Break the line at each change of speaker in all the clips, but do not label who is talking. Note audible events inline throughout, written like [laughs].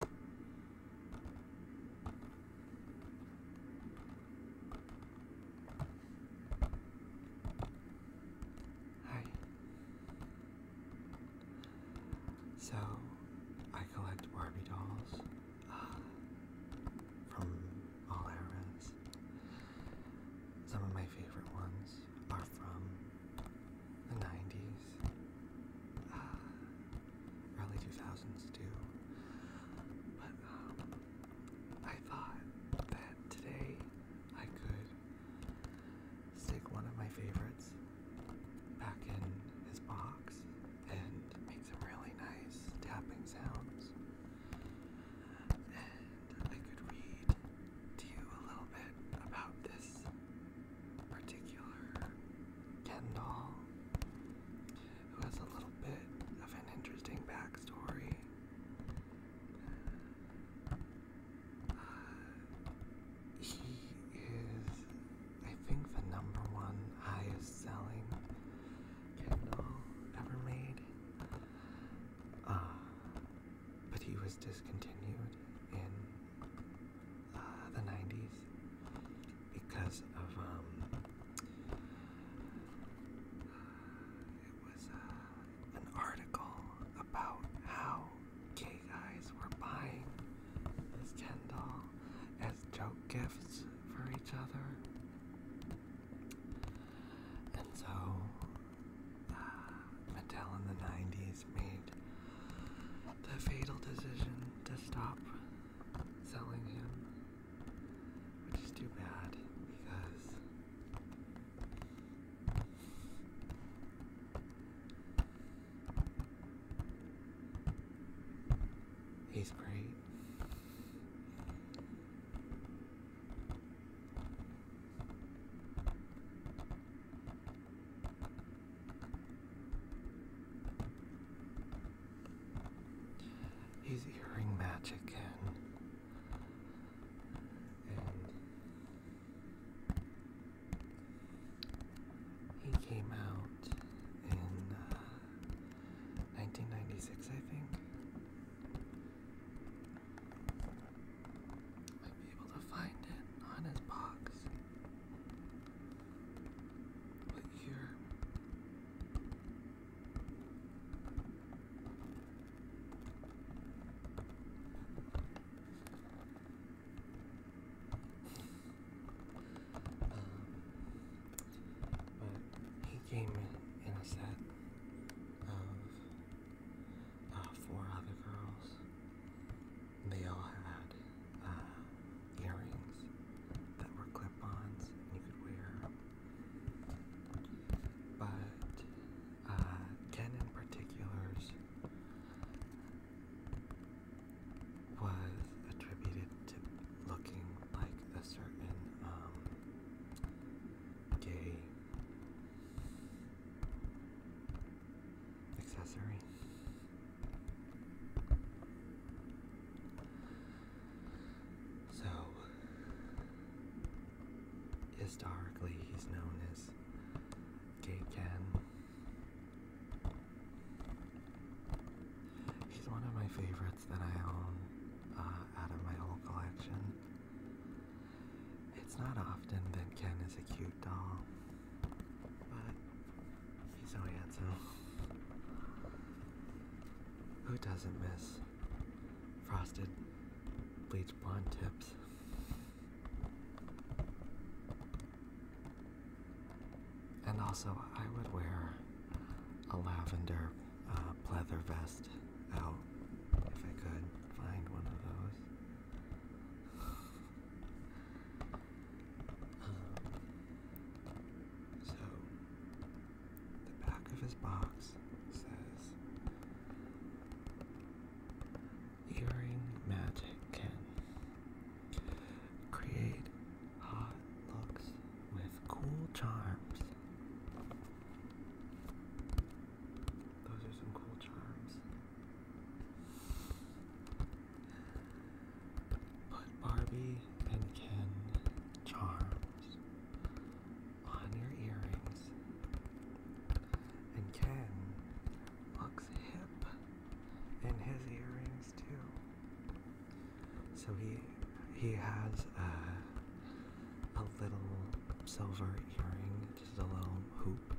Hi. So, I collect Barbie dolls uh, from all eras. Some of my favorite ones are from the 90s early 2000s too. But um, I thought that today I could stick one of my favorites back in his box and make some really nice tapping sounds. And I could read to you a little bit about this particular Kendall, who has a little bit of an interesting backstory. Uh, he is, I think, the number one highest selling Kendall ever made. Uh, but he was discontinued in Ah, the 90s because of um it was uh, an article about how gay guys were buying this Ken doll as joke gifts for each other. And so, uh, Mattel in the 90s made the fatal decision to stop selling him, which is too bad because he's great. He's hearing magic and he came out in 1996, uh, I think. Might be able to find it on his box. But here. Um, but he came in, a set of uh, four other girls, they all had uh, earrings that were clip-ons and you could wear. But uh, Ken in particulars was attributed to looking like a certain um, gay accessory. So, historically, he's known as Ken. He's one of my favorites that I own uh, out of my whole collection. It's not often that Ken is a cute doll. But uh, he's handsome. Who doesn't miss frosted bleach blonde tips? And also, I would wear a lavender uh, pleather vest out if I could find one of those so, the back of his box says Earring Magic can create hot looks with cool charms. Those are some cool charms. Put Barbie and Ken charms on your earrings, and Ken looks hip in his earrings too. So he he has a a little silver earring, just a little hoop,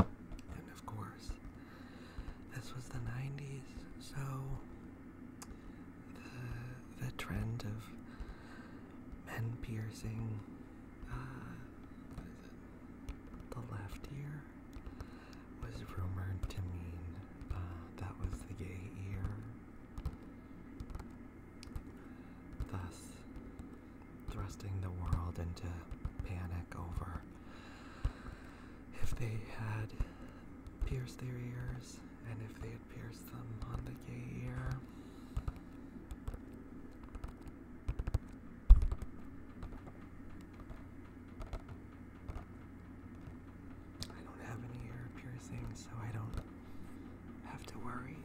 and of course this was the 90s, so the, the trend of men piercing uh, the left ear was rumored to mean uh, that was the gay ear. Thus, thrusting the world into panic over if they had pierced their ears and if they had pierced them on the gay ear. I don't have any ear piercings, so I don't have to worry.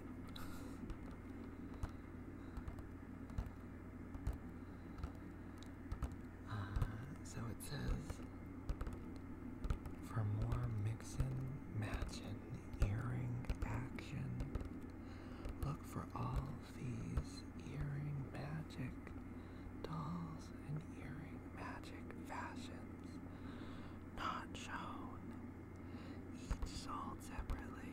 Uh, so it says for more mixin, matchin, earring action, look for all these earring magic dolls and earring magic fashions not shown, each sold separately.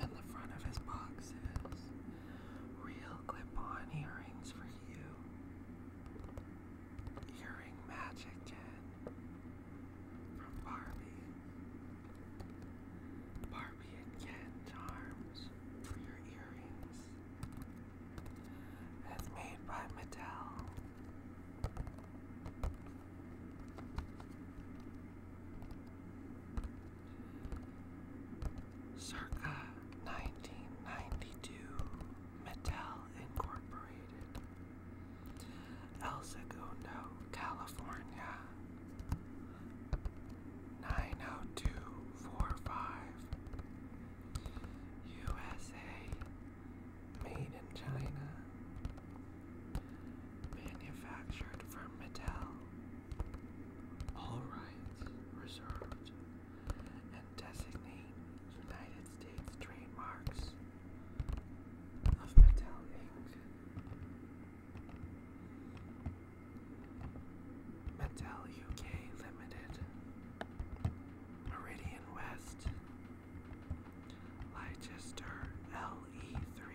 And the front of his box is real clip-on earrings for you. Earring magic, Jen, from Barbie. Barbie and charms for your earrings. It's made by Mattel. Circa 1992, Mattel Incorporated, El Segundo, California. 90245 USA Made in China. Manufactured from metal. All rights reserved. And designate United States trademarks of Mattel Inc. Mattel UK Limited. Meridian West. Leicester le 3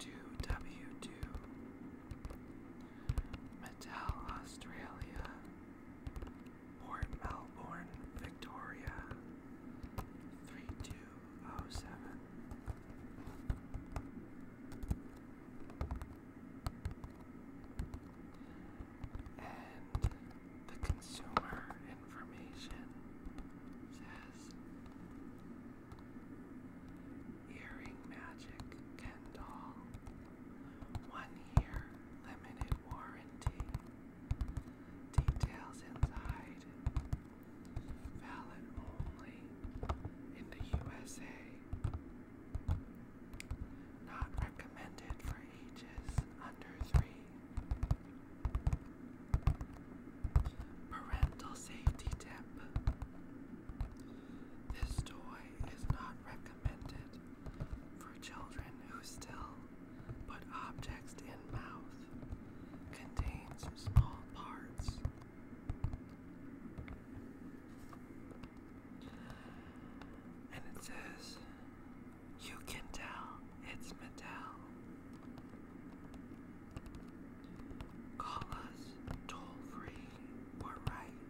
2W2 Metal Australia Port Melbourne Victoria 3207 and the consumer information says earring magic Ken One year limited warranty. Details inside. Valid only in the USA. Not recommended for ages under three. Parental safety tip. This toy is not recommended for children who still put objects in mouth. Contains small parts. And it says, You can tell it's Mattel. Call us toll free or write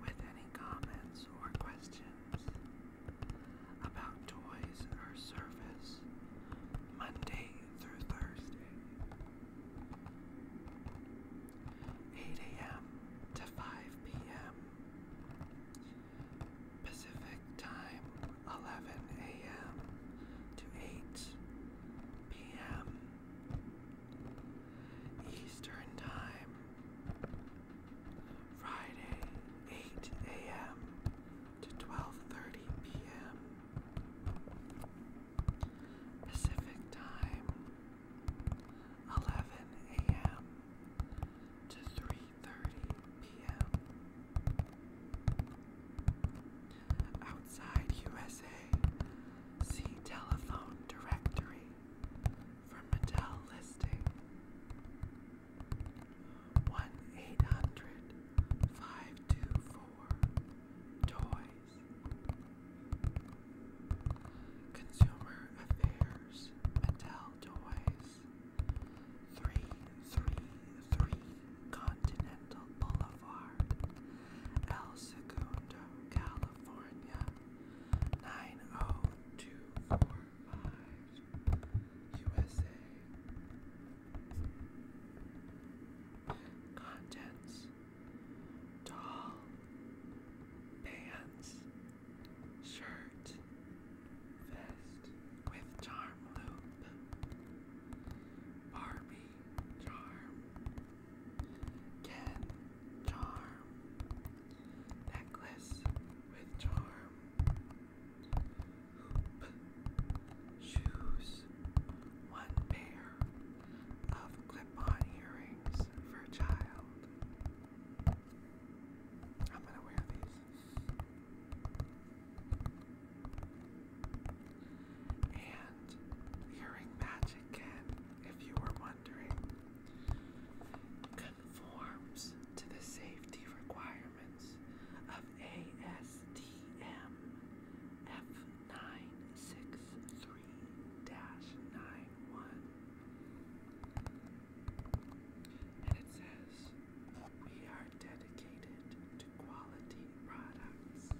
with any comments or questions about toys or service Monday through Thursday, 8 a.m. to 5 p.m. Pacific Time, 11 a.m. to 8 p.m. Eastern Time, Friday, 8 a.m. to 12:30 p.m. Pacific Time, 11 a.m to 3:30 p.m. Outside USA, see telephone directory for Mattel listing 1 800 524 Toys. Consumer Affairs doors, metal doorways. Three, three, three, Continental Boulevard, El Segundo, California, nine oh two four five, USA. Contents: doll, bands, shirt, vest with charm loop, Barbie charm, Ken charm, necklace with charm, hoop, shoes, one pair of clip-on earrings for child. I'm gonna wear these. And hearing magic can, if you were wondering, conforms to the safety requirements of ASTM F963 91. And it says, we are dedicated to quality products.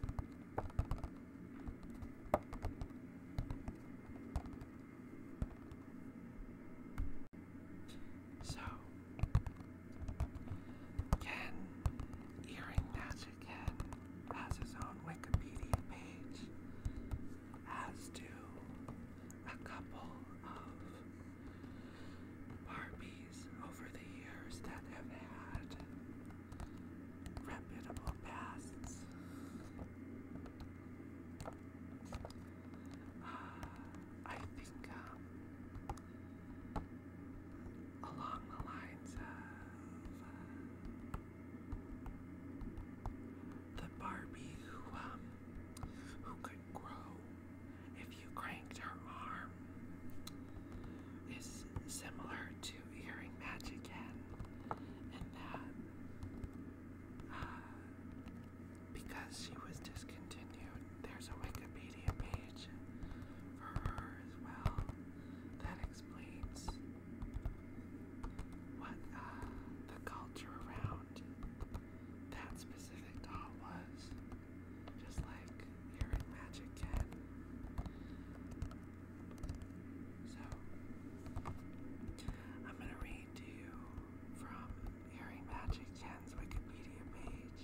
So, Ken Earring Magic Ken has his own Wikipedia page as do a couple of Barbies over the years that have had reputable pasts. Uh, I think um, along the lines of uh, the Barbie who um who could grow if you cranked her arm is similar to Earring Magic Cat and that uh, because she was discontinued, there's a Wikipedia page for her as well that explains what uh, the culture around that specific doll was. Just like hearing magic can. So, I'm gonna read to you from Hearing Magic Ken's Wikipedia page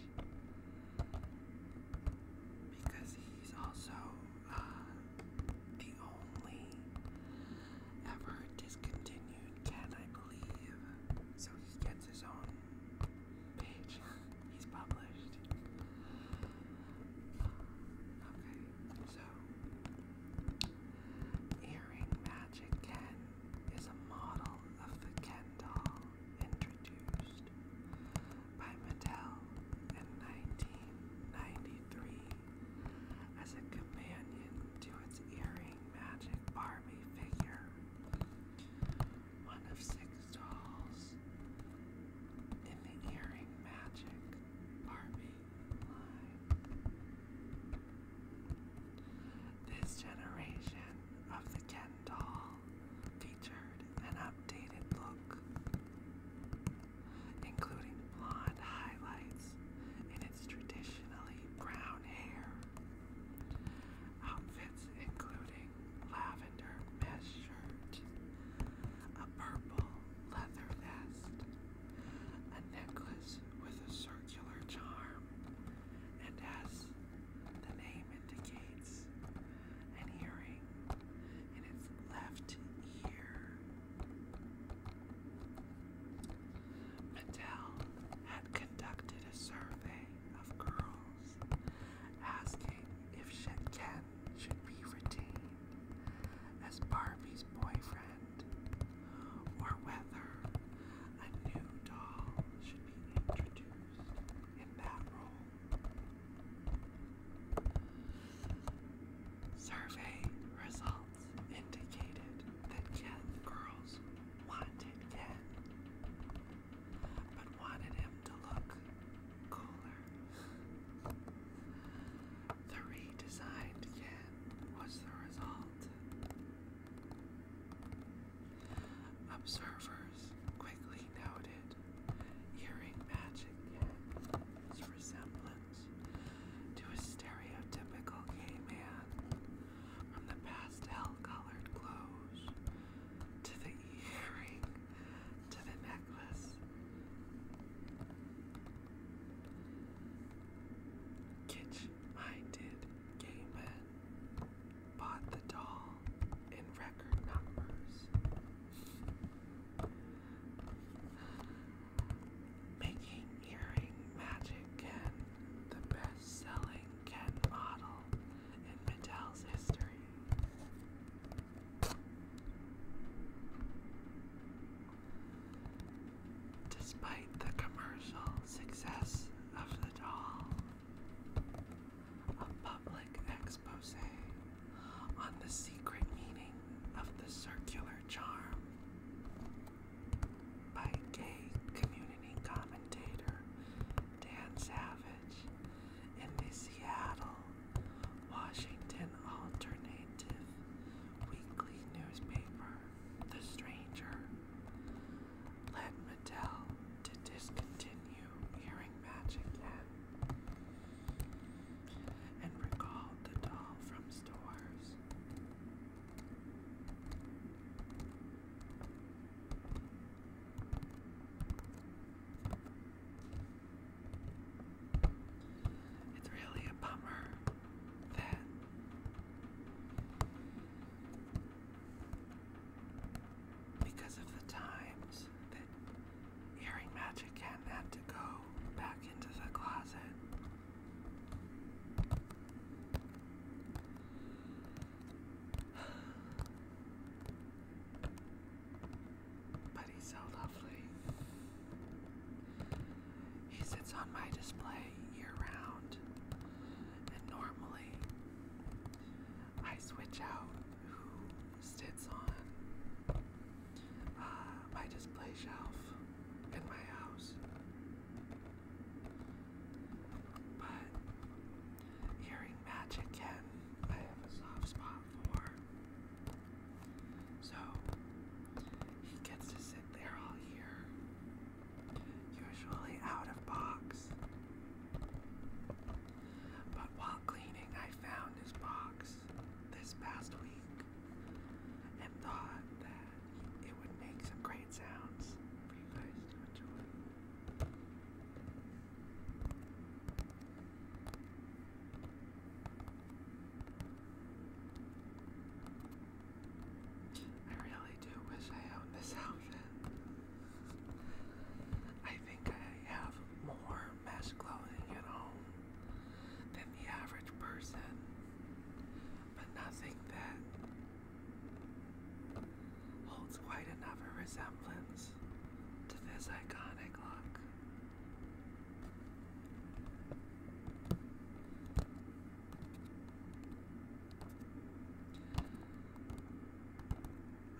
because he's also uh, the only ever discontinued Dude I believe. So he gets his own page. He's published. Okay, so Earring Magic Ken is a model of the Ken doll introduced by Mattel in 1993 as a companion to its earring magic Barbie figure. One of six dolls in the earring magic Barbie line. This generation of the Ken doll featured an updated look, including blonde highlights and its traditionally brown hair. Outfits including lavender mesh shirt, a purple leather vest, a necklace with a circular charm, and as the name indicates, an earring in its left ear. Mattel had conducted a survey of girls asking if Shet should be retained as Barbie's boyfriend or whether a new doll should be introduced in that role. Survey results indicated that Ken girls wanted Ken, but wanted him to look cooler. The redesigned Ken was the result. Observers quickly noted earring matching Ken's resemblance to a stereotypical gay man, from the pastel-colored clothes to the earring to the necklace. Kitsch-minded gay men bought the doll in record numbers making earring magic and the best selling Ken model in Mattel's history. Despite the commercial success of the doll, a public expose on the secret meaning of the circular charm by gay community commentator Dan Savage in the Seattle, Washington alternative weekly newspaper, The Stranger, led Mattel to discontinue hearing magic and recalled the doll from stores. It's really a bummer that because of the times that earring magic had to go back into the closet. But he's so lovely. He sits on my display year round, and normally I switch out who sits on uh, my display shelf in my house. But hearing magic can I have a soft spot for. So he gets to sit there all year. Usually out of box. But while cleaning I found his box this past week and thought that it would make some great sounds for you guys to enjoy. I really do wish I owned this [laughs] outfit. I think I have more mesh clothing at home than the average person but nothing that holds quite enough resemblance to this iconic look.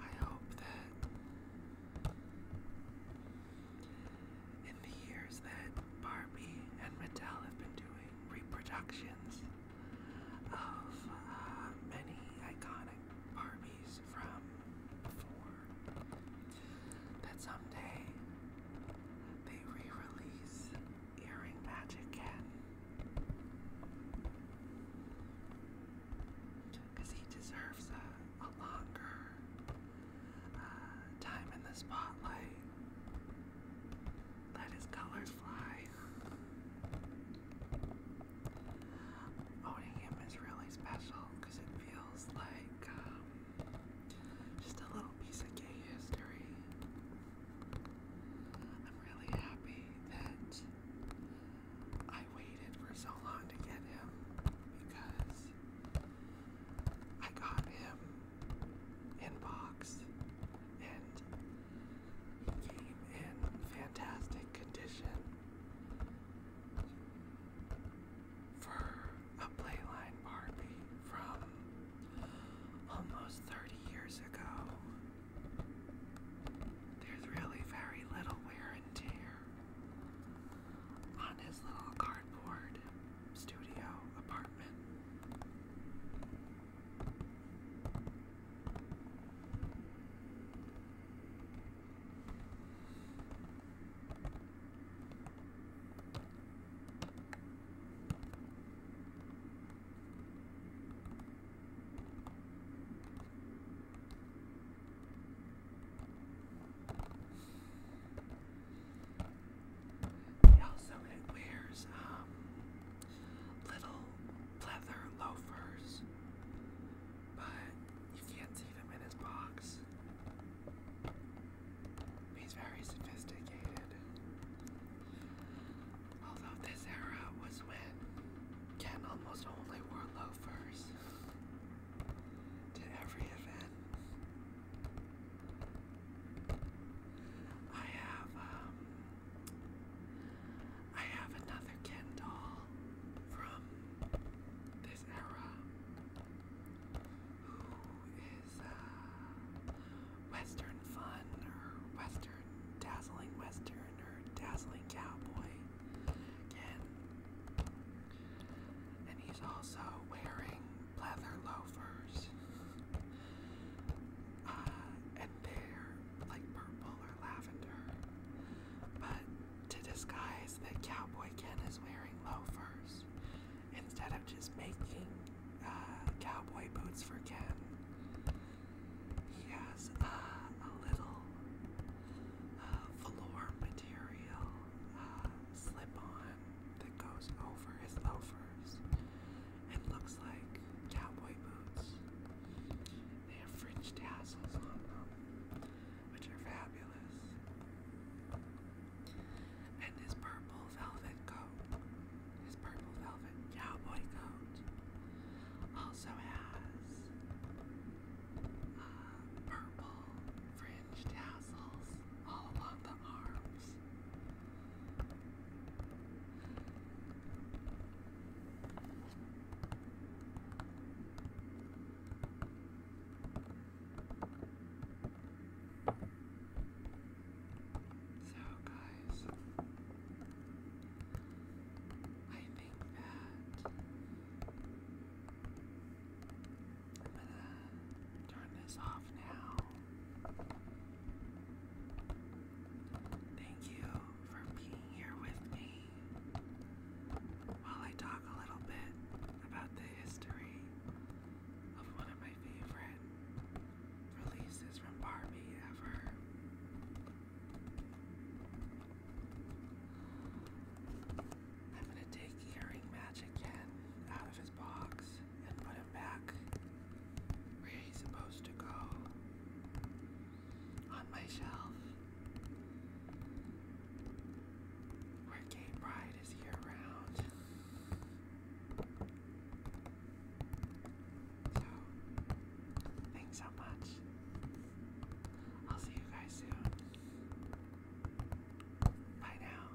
I hope that in the years that Barbie and Mattel have been doing reproductions of uh, many iconic Barbies from before. That someday they re-release Earring Match again. Because he deserves a, longer uh, time in the spotlight. Let his colors fly. Owning him is really special because it feels like um, just a little piece of gay history. I'm really happy that I waited for so long to get him because I got him and boxed and came in fantastic condition for a Playline Barbie from almost 30 years ago. There's really very little wear and tear on his little cardboard studio apartment. He also wears um, little leather loafers, but you can't see them in his box. He's very sophisticated. Although this era was when Ken almost only wore loafers to every event. I have um I have another Kendall from this era who is uh Western Fun or Western Dazzling Western or Dazzling Cowboy again. And he's also wearing leather loafers. Uh, and they're like purple or lavender. But to disguise that Cowboy Ken is wearing loafers, instead of just making uh, cowboy boots for Ken, he has uh, a little uh, velour material slip on that goes over his loafers it looks like cowboy boots. They have fringe tassels on them, which are fabulous. And this purple velvet coat, this purple velvet cowboy coat, also has uh, purple fringe tassels all along the arm themselves. So, guys, I think that turn this off now. Thank you for being here with me while I talk a little bit about the history of one of my favorite releases from Barbie ever. I'm going to take Earring Magic Ken out of his box and put back where he's supposed to go on my shelf. Where gay pride is year round. So, thanks so much. I'll see you guys soon. Bye now.